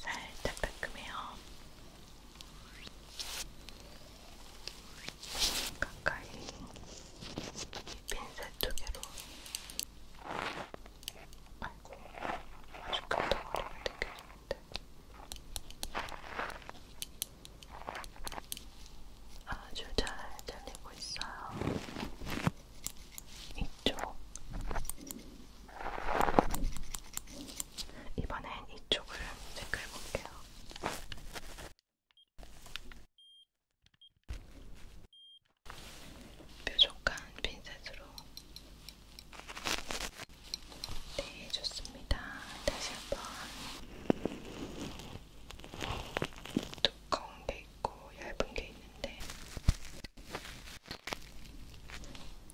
살짝 따끔해요. 가까이 핀셋 두 개로 아이고 아주 큰 덩어리가 느껴지는데 아주 잘 잘리고 있어요. 이쪽 이번엔 이쪽을 체크해 볼게요. 뾰족한 핀셋으로 네, 좋습니다. 다시 한번 두꺼운 게 있고 얇은 게 있는데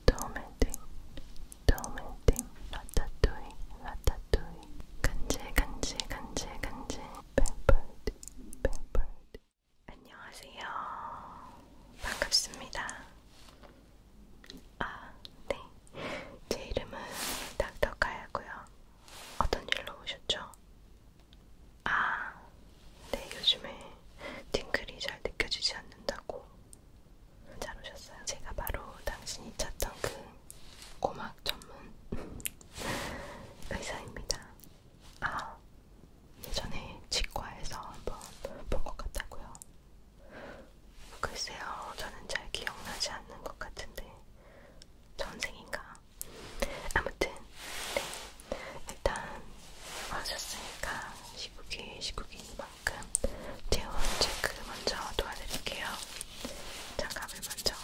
도메딩, 도메딩, 라타뚜이, 라타뚜이. 간지, 간지, 간지, 간지. 뱀벌디, 뱀벌디. 안녕하세요. 반갑습니다. 아, 네. 제 이름은 닥터카야고요. 어떤 일로 오셨죠? 아, 네, 요즘에 팅클이 잘 느껴지지 않는다고 잘 오셨어요. 제가 바로 당신이 찾던 그 고막 전문 의사입니다. 아, 예전에 치과에서 한번 본 것 같다고요. 글쎄요, 저는 잘 기억나지 않는 것 같은데 전생인가? 아무튼 네, 일단 와셨으니까 아, 시국이 시국이 만큼 체온 체크 그 먼저 도와드릴게요. 장갑을 먼저.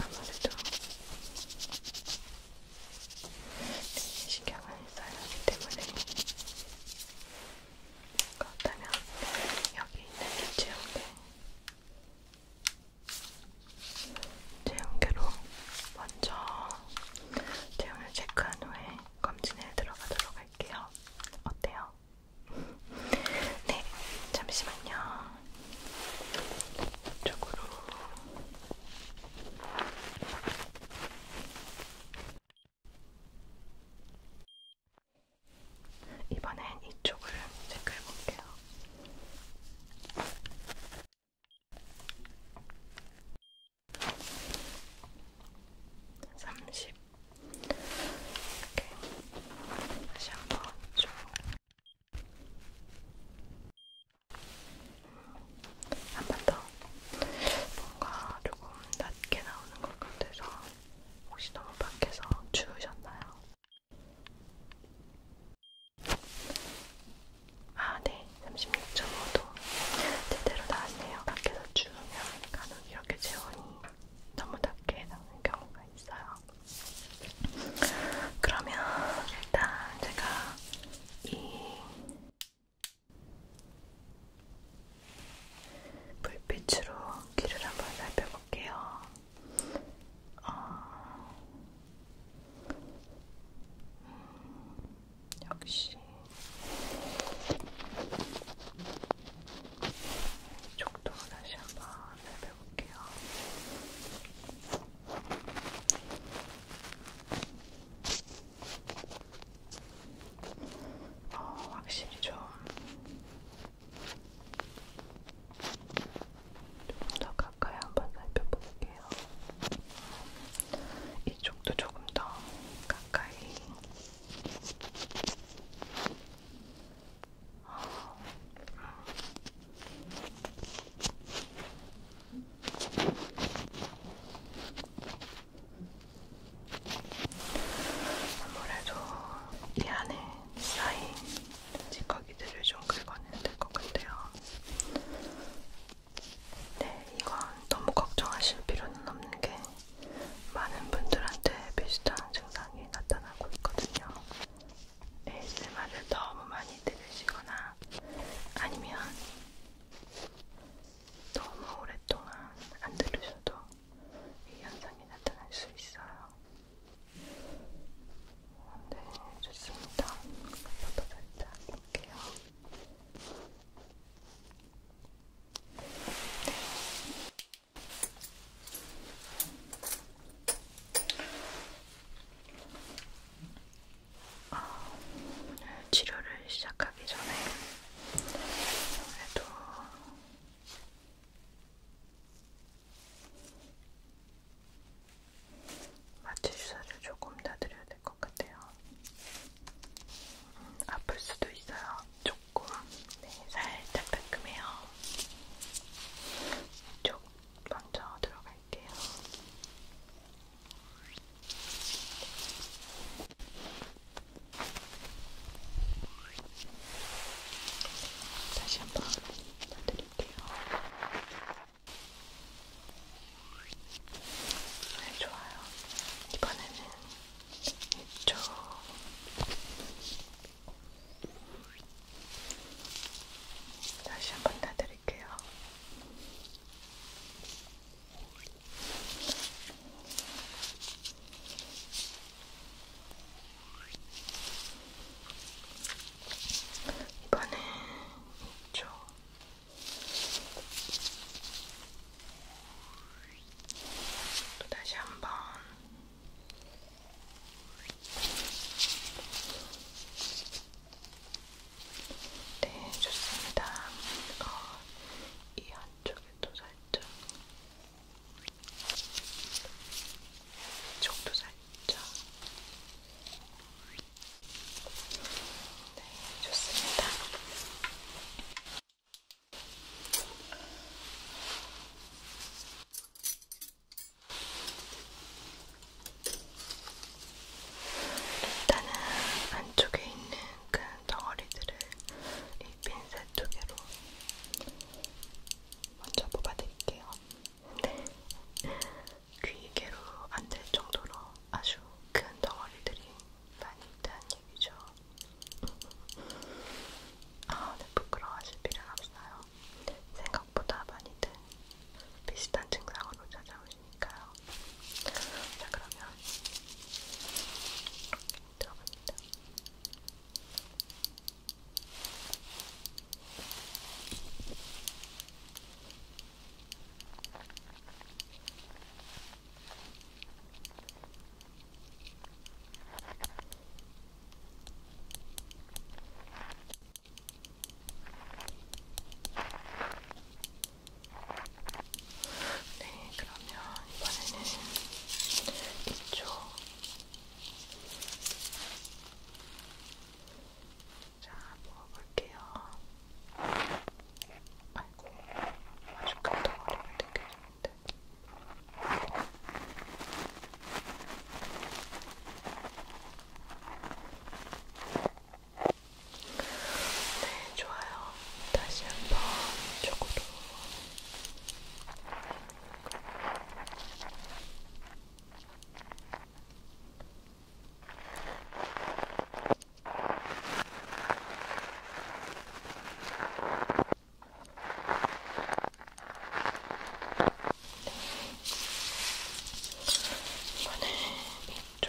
아무래도 신경을 써야 하기 때문에 그렇다면 여기 있는 이 체온계 제형계로 먼저 제형을 체크한 후에 검진에 들어가도록 할게요. 어때요? 네, 잠시만요. 이쪽으로. 이번엔 이쪽을 체크해 볼게요. 30 이렇게 다시 한번 쭉한번더 뭔가 조금 낮게 나오는 것 같아서 혹시 너무 밖에서 추우셨나요? 아, 네. 36.5도. 제대로 나왔네요. 밖에서 추우면 간혹 이렇게 체온이 너무 낮게 나오는 경우가 있어요. 그러면 일단 제가 이 불빛으로 귀를 한번 살펴볼게요. 어, 음, 역시 이쪽도 다시 한번 해볼게요. 어, 확실히 좀 조금 더 가까이 한번 살펴볼게요. 이쪽도 조금 더 가까이. 어. 아무래도 이 안에 쌓인 찌꺼기들을 좀 긁어내야 될 것 같아요. 네, 이건 너무 걱정하실 필요는 없는 게 많은 분들한테 비슷한 증상이 나타나고 있거든요. ASMR을 네, 너무 많이 들으시거나 아니면 너무 오랫동안 안 들으셔도 이 현상이 나타날 수 있어요. 네, 좋습니다. 한번더 살짝 볼게요. 어, 아, 오늘 치료를 시작하기 전에 아무래도 마취 주사를 조금 더 드려야 될 것 같아요. 음, 아플 수도 있어요. 조금. 네, 살짝 따끔해요. 이쪽 먼저 들어갈게요. 다시 한번 넣어드릴게요. 네, 좋아요. 이번에는 이쪽. 다시 한번 놔드릴게요. 이번엔 이쪽. 또 다시 한번 네, 좋습니다. 어, 이 한쪽에도 살짝 이쪽도 살짝 네, 좋습니다. 일단은 안쪽에 있는 그 덩어리들을 이 핀셋 두 개로 먼저 뽑아드릴게요. 네. 귀개로 안될 정도로 아주 큰 덩어리들이 많이 있다는 얘기죠. 아, 네, 부끄러워하실 필요는 없어요. 생각보다 많이들 비슷한 증상으로 찾아오시니까요. 자, 그러면 들어갑니다. 네, 그러면 이번에는 이쪽 자, 먹어볼게요. 아이고, 아주 큰 덩어리가 느껴지는데. 네, 좋아요. 다시 한번 이쪽으로. 이번에 네, 이쪽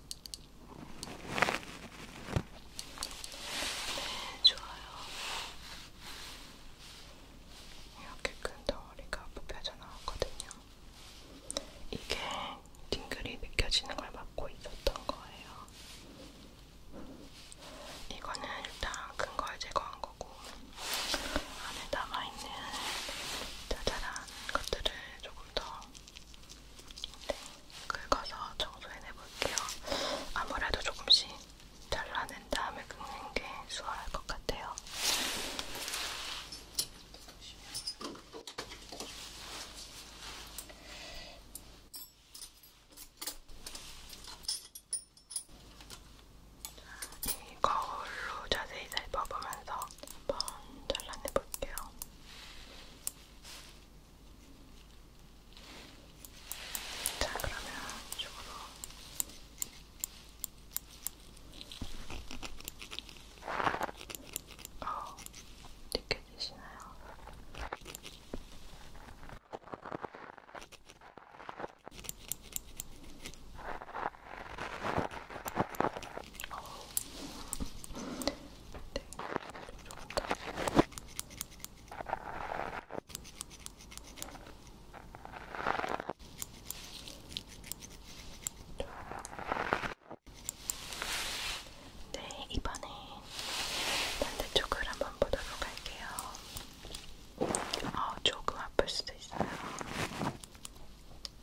네, 좋아요. 이렇게 큰 덩어리가 뽑혀져 나왔거든요. 이게 딩글이 느껴지는 걸 막고 있었던 거예요. 이거는 일단 큰 걸 제거한 거고 안에 남아있는 자잘한 것들을 조금 더 긁어서 네, 청소해내볼게요. 아무래도 조금씩 잘라낸 다음에 긁는 게 수월할 것 같아요. 이 거울로 자세히 살펴보면서 한번 잘라내볼게요. 자, 그러면 이쪽으로. 어, 느껴지시나요? 어, 네, 조금 더 네, 이번엔 반대쪽을 한번 보도록 할게요. 어, 조금 아플 수도 있어요.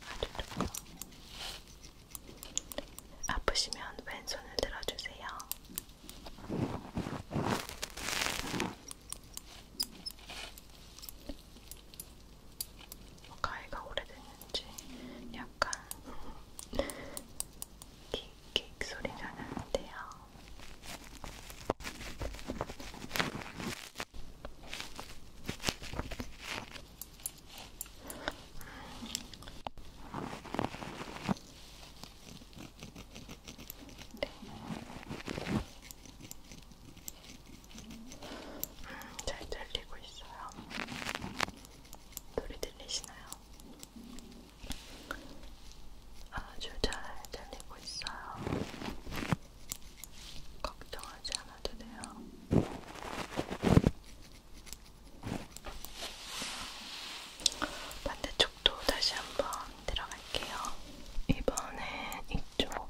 아주 조금. 네, 아프시면 왼손을 들어주세요. 가위가 오래됐는지 약간 킥킥 음, 소리가 나는데요. 음. 네. 음, 잘 들리고 있어요. 소리 들리시나요? 아주 잘 들리고 있어요. 걱정하지 않아도 돼요. 반대쪽도 다시 한번 들어갈게요. 이번엔 이쪽.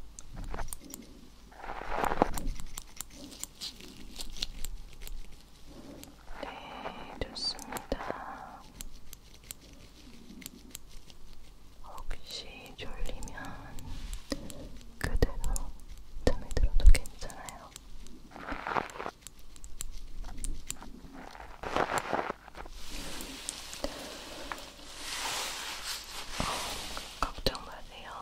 네, 좋습니다. 혹시 졸리면 그대로 잠에 들어도 괜찮아요. 걱정 마세요.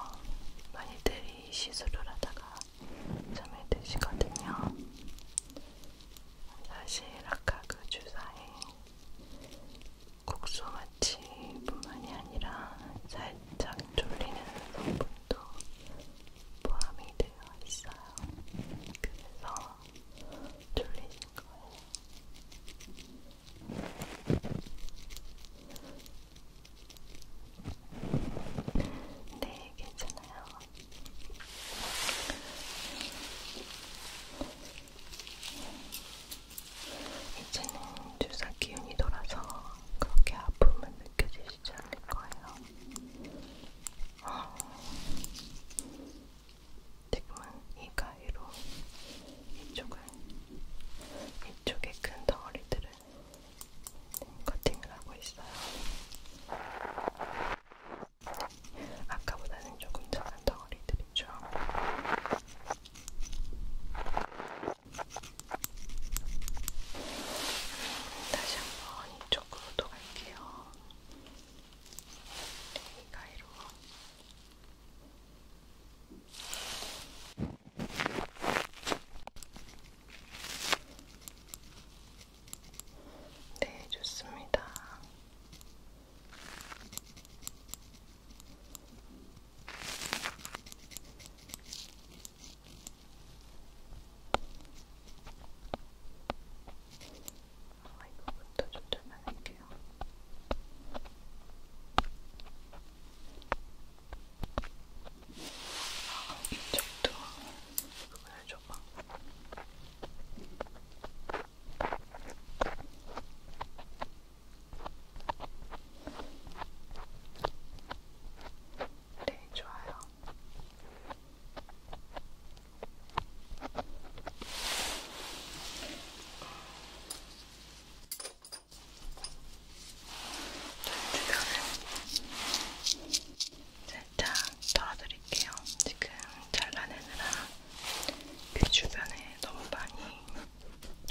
많이들이 시술을 하다가 잠이 드시거든요. 사실 아까 그 주사에 국소 마취뿐만이 아니라 살짝 졸리는 성분도 포함이 되어 있어요. 그래서 졸리신 거예요. 네, 괜찮아요. 이제는 주사 기운이 돌아서 그렇게 아픔은 느껴지시지 않을 거예요. 지금은 이 가위로 이쪽을 이쪽의 큰 덩어리들을 커팅을 하고 있어요. 아까보다는 조금 작은 덩어리들이죠. 음, 다시 한 번 이쪽으로 또 갈게요. 가위로. 네, 좋습니다. 아, 이거부터 조절만 할게요. 아, 이쪽도 그걸 줘봐. 네, 좋아요. 주변을 살짝 털어드릴게요. 지금 잘라내느라 귀 그 주변에 너무 많이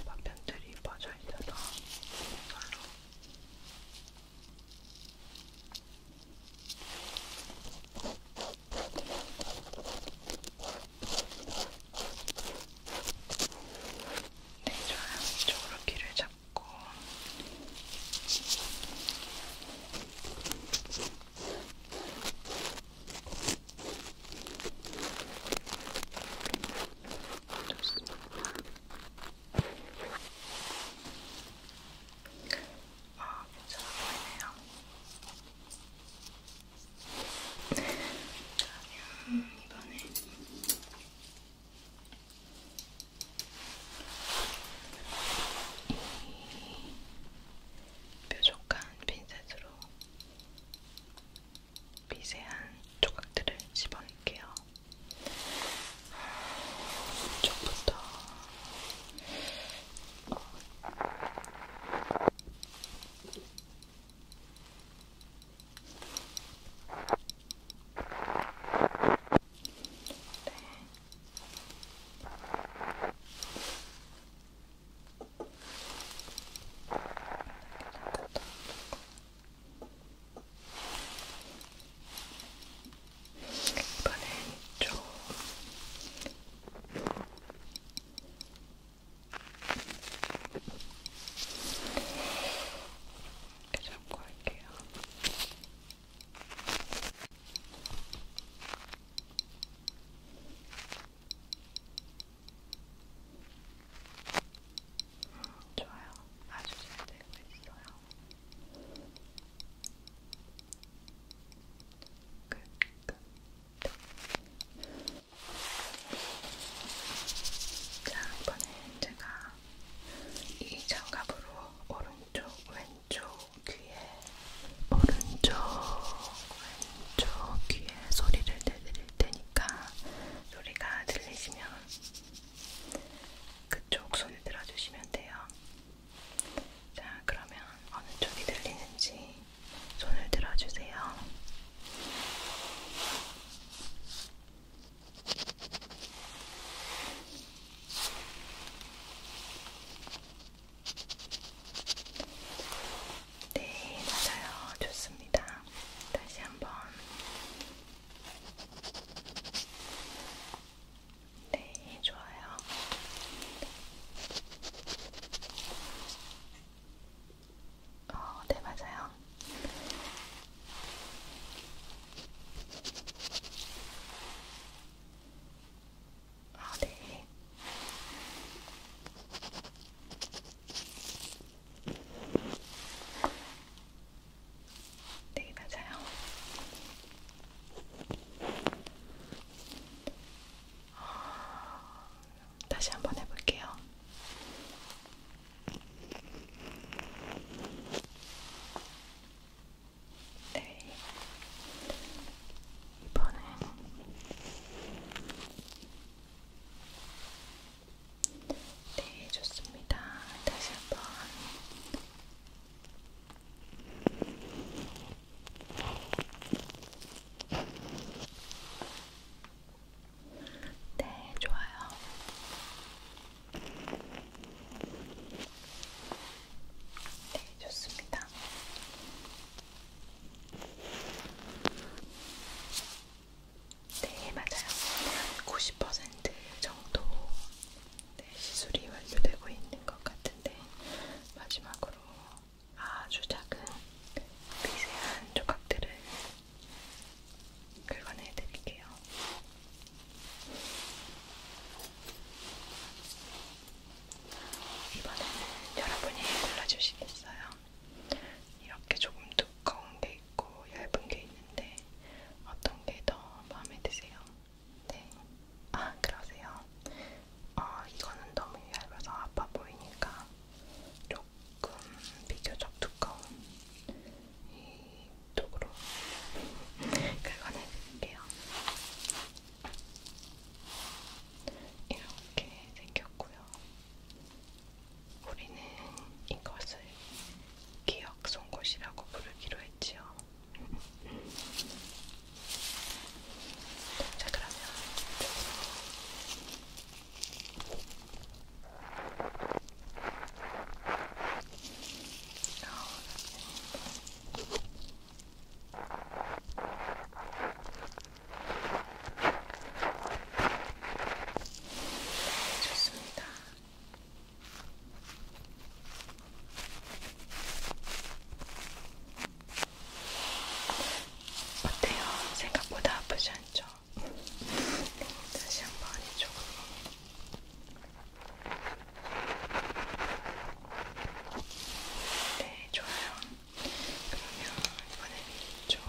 파편들이 퍼져 있어서 이걸로 네, 좋아요. 이쪽으로 귀를 잡고. 좋습니다. 아, 괜찮아 보이네요. 그러면 이번에 이 뾰족한 핀셋으로 미세한 조각들을 집어낼게요. 이쪽부터 네. 이번엔 좀 이렇게 잡고 할게요. 음, 좋아요. 아주 잘 되고 있어요. 자, 이번엔 제가 이 장갑으로 오른쪽, 왼쪽 귀에, 오른쪽, 왼쪽 귀에 소리를 내드릴 테니까 소리가 들리시면 그쪽 손을 들어주시면 돼요. 자, 그러면 어느 쪽이 들리는지 손을 들어주세요. 네, 맞아요. 좋습니다. 다시 한번. 네, 좋아요. 어, 네, 맞아요. 아, 네. 네, 맞아요. 다시 한번 해볼게요. 네. 이번엔 네, 좋습니다. 다시 한번 네, 좋아요. 네, 좋습니다. 네, 맞아요. 90% 정도 네, 시술이 완료되고 있는 것 같은데 마지막으로 아주 작은 미세한 조각들을 긁어내 드릴게요. 이번에는 여러분이 골라주시겠어요? 이렇게 조금 두꺼운 게 있고 얇은 게 있는데 어떤 게 더 마음에 드세요? 네. 아, 그러세요. 어, 이거는 너무 얇아서 아파 보이니까 조금 비교적 두꺼운 이 도구로 긁어내드릴게요. 이렇게 생겼고요. 우리는 이것을 기억 송곳이라고 부르기로 했지요. 자, 그러면 좋습니다. 어때요? 생각보다 아프지 않죠? 다시 한 번 이쪽으로. 네, 좋아요. 그러면 이번엔 이쪽.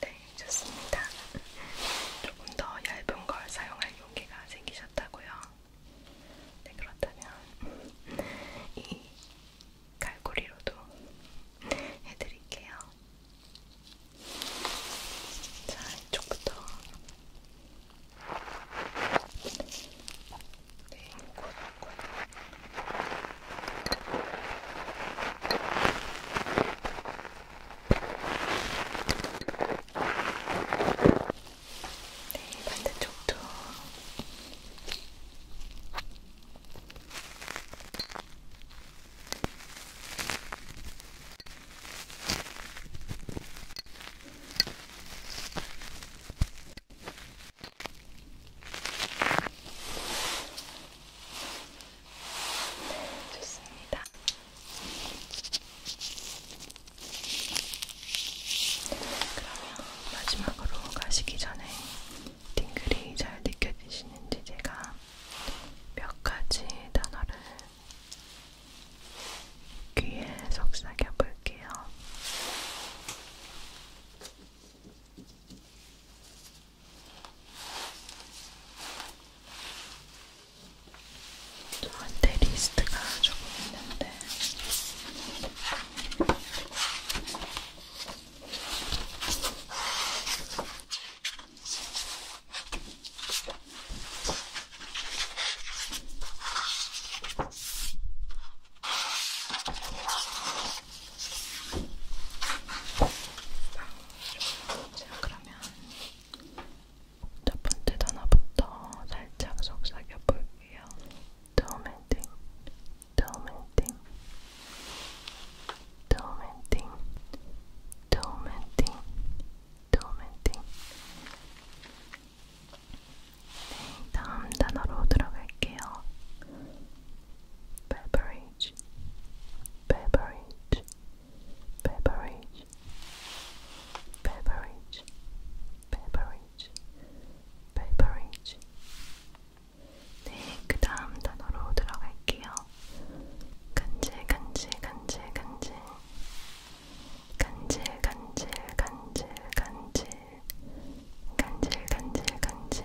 네, 좋습니다. 조금 더 얇은 걸 사용할 용기가 생기셨다고요? 네, 그렇다면 이 갈고리로도 해드릴게요. 자, 이쪽부터 네, 고등고 네, 반대쪽도. 네, 좋습니다. 그러면 마지막으로 가시기 전에 팅글이 잘 느껴지시는지 제가 몇 가지 단어를 귀에 속삭여 볼게요. 저한테 리스트가 조금 있는데 제가 그럼 그러면 첫 번째 단어부터 살짝 속삭여 볼게요. 도멘팅, 도멘팅, 도멘팅, 도멘팅, 도멘팅. 네, 다음 단어로 들어갈게요. beverage, beverage, beverage, beverage, beverage, beverage, beverage. 네, 그 다음 단어로 들어갈게요. 간질, 간질, 간질, 간질. 간질, 간질, 간질, 간질. 간질, 간질, 간질.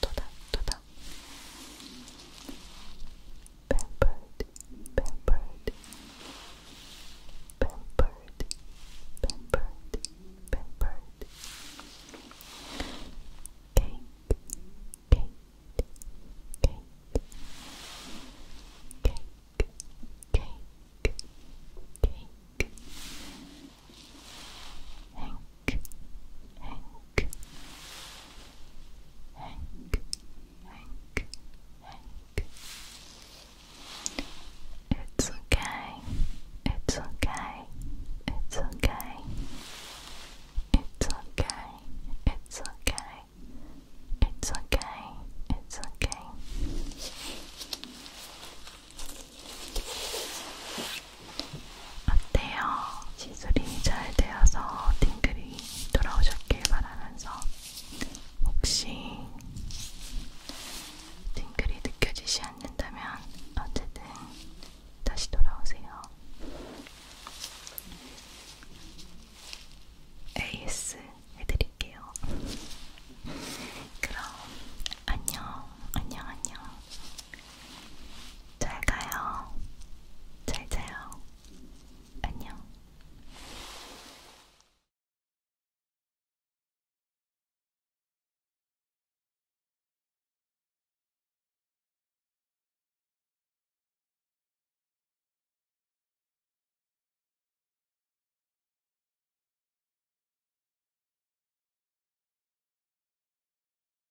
toda, toda. Pampered, pampered, pampered, pampered, pampered. Cake, cake, cake, cake, cake, cake. Hank, Hank, Hank, Hank. It's okay, it's okay, it's okay. It's okay, it's okay, it's okay, it's okay. 어때요? 시술이 잘 되어서 팅글이 돌아오셨길 바라면서 혹시 팅글이 느껴지지 않는다면 어쨌든 다시 돌아오세요. AS 해드릴게요. 그럼 안녕, 안녕, 안녕. 잘 가요. 잘 자요. 안녕.